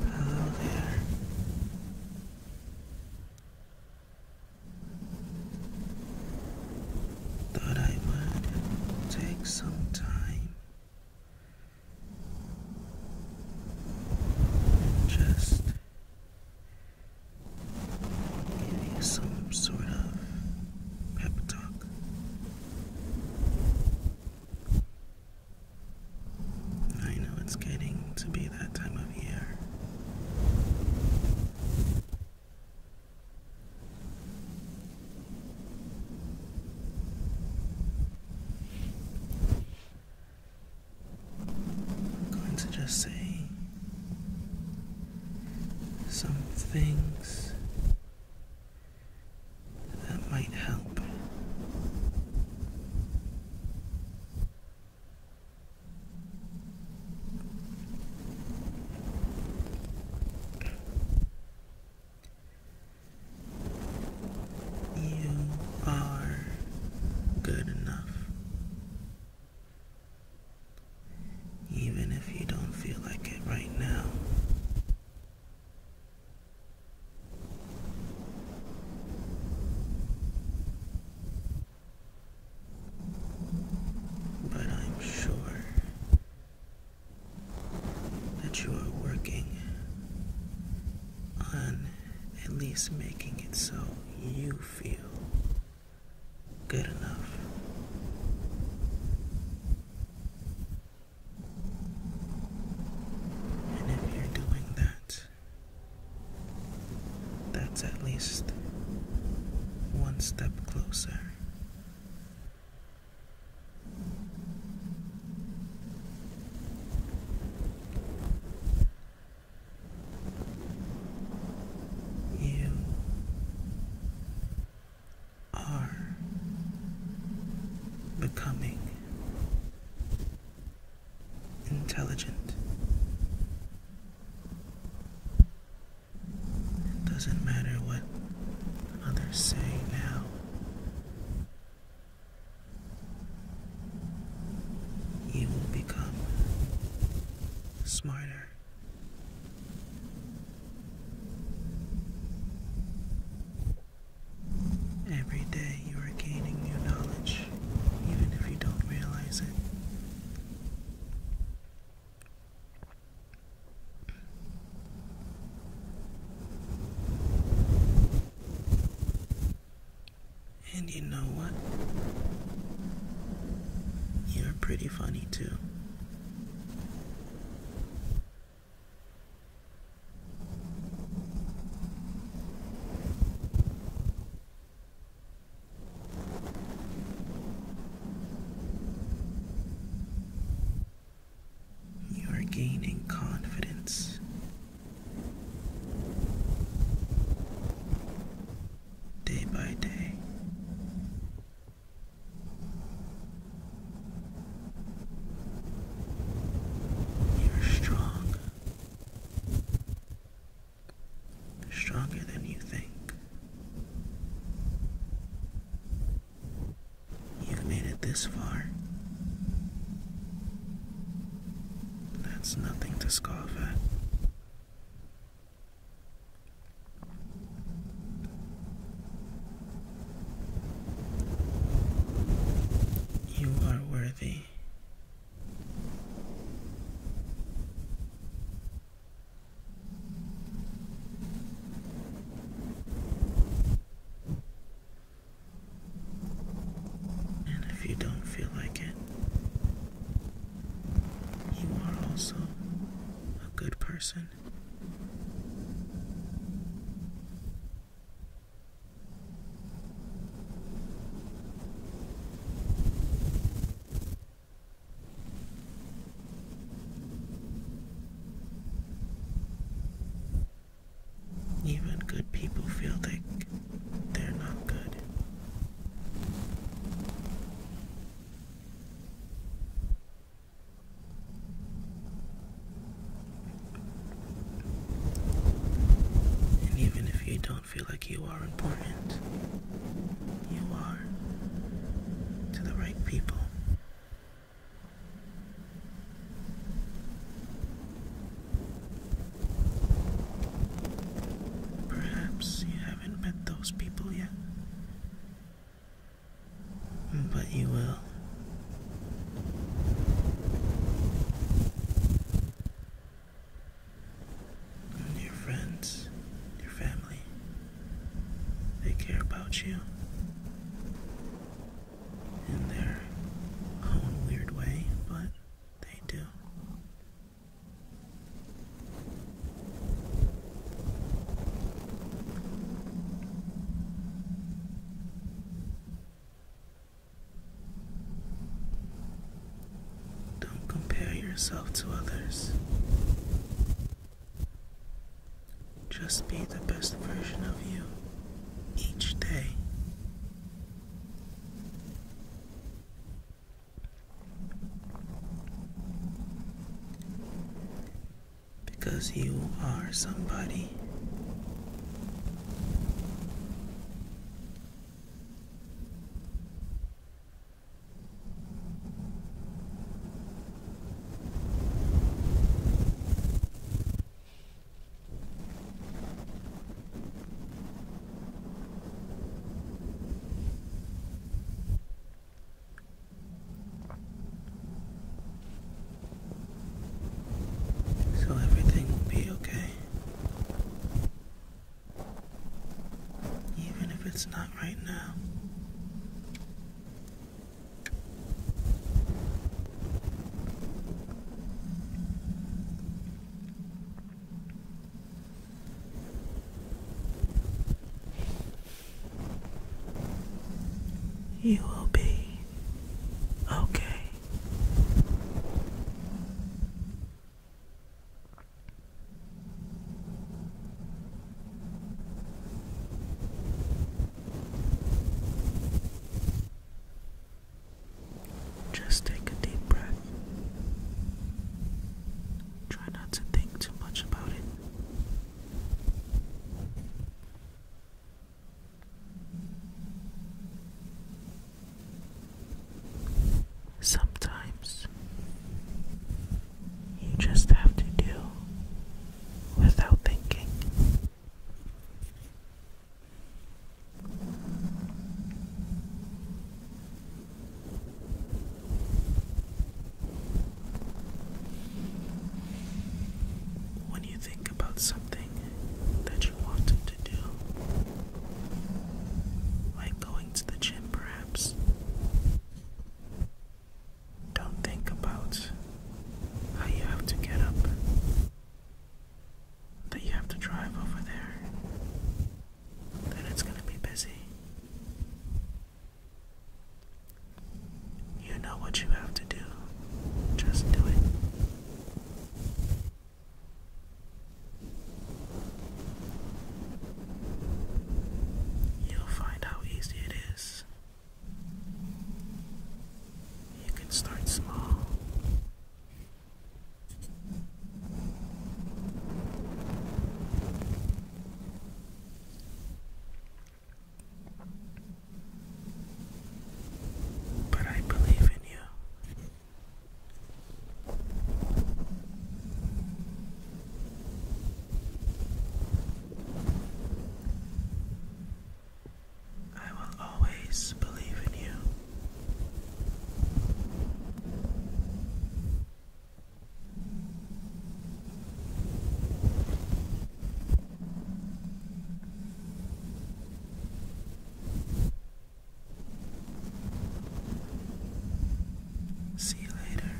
Hello there. Thought I would take some time just some sort of pep talk. I know it's getting to be that time of year. I'm going to just say some things that might help. You are good enough. Even if you don't feel like it right now. But I'm sure that you are working on at least making it so you feel good enough. And if you're doing that, that's at least one step closer. You are becoming intelligent. It doesn't matter what others say now you will become smarter. Every day you are gaining new knowledge, even if you don't realize it. And you know what? You're pretty funny too. You are gaining confidence day by day. You're strong, stronger than you think. You've made it this far. That's nothing to scoff at. You are worthy. And if you don't feel like it, you are also a good person. Even good people feel like they're not good. even if you don't feel like you are important, you are to the right people. Perhaps you haven't met those people yet, but you will. Your friends, your family, they care about you in their own weird way, but they do. Don't compare yourself to others. Just be the best version of you each day. Because you are somebody. So everything will be okay. Even if it's not right now. You will be okay. Just take a deep breath. Try not to think too much about it. Sometimes you just have to deal without thinking. When you think about something that you wanted to do, like going to the gym perhaps, don't think about how you have to get up, that you have to drive over there, that it's going to be busy. You know what you have to do, just do it. You'll find how easy it is you can start small. But I believe in you. I will always believe in you. See you later.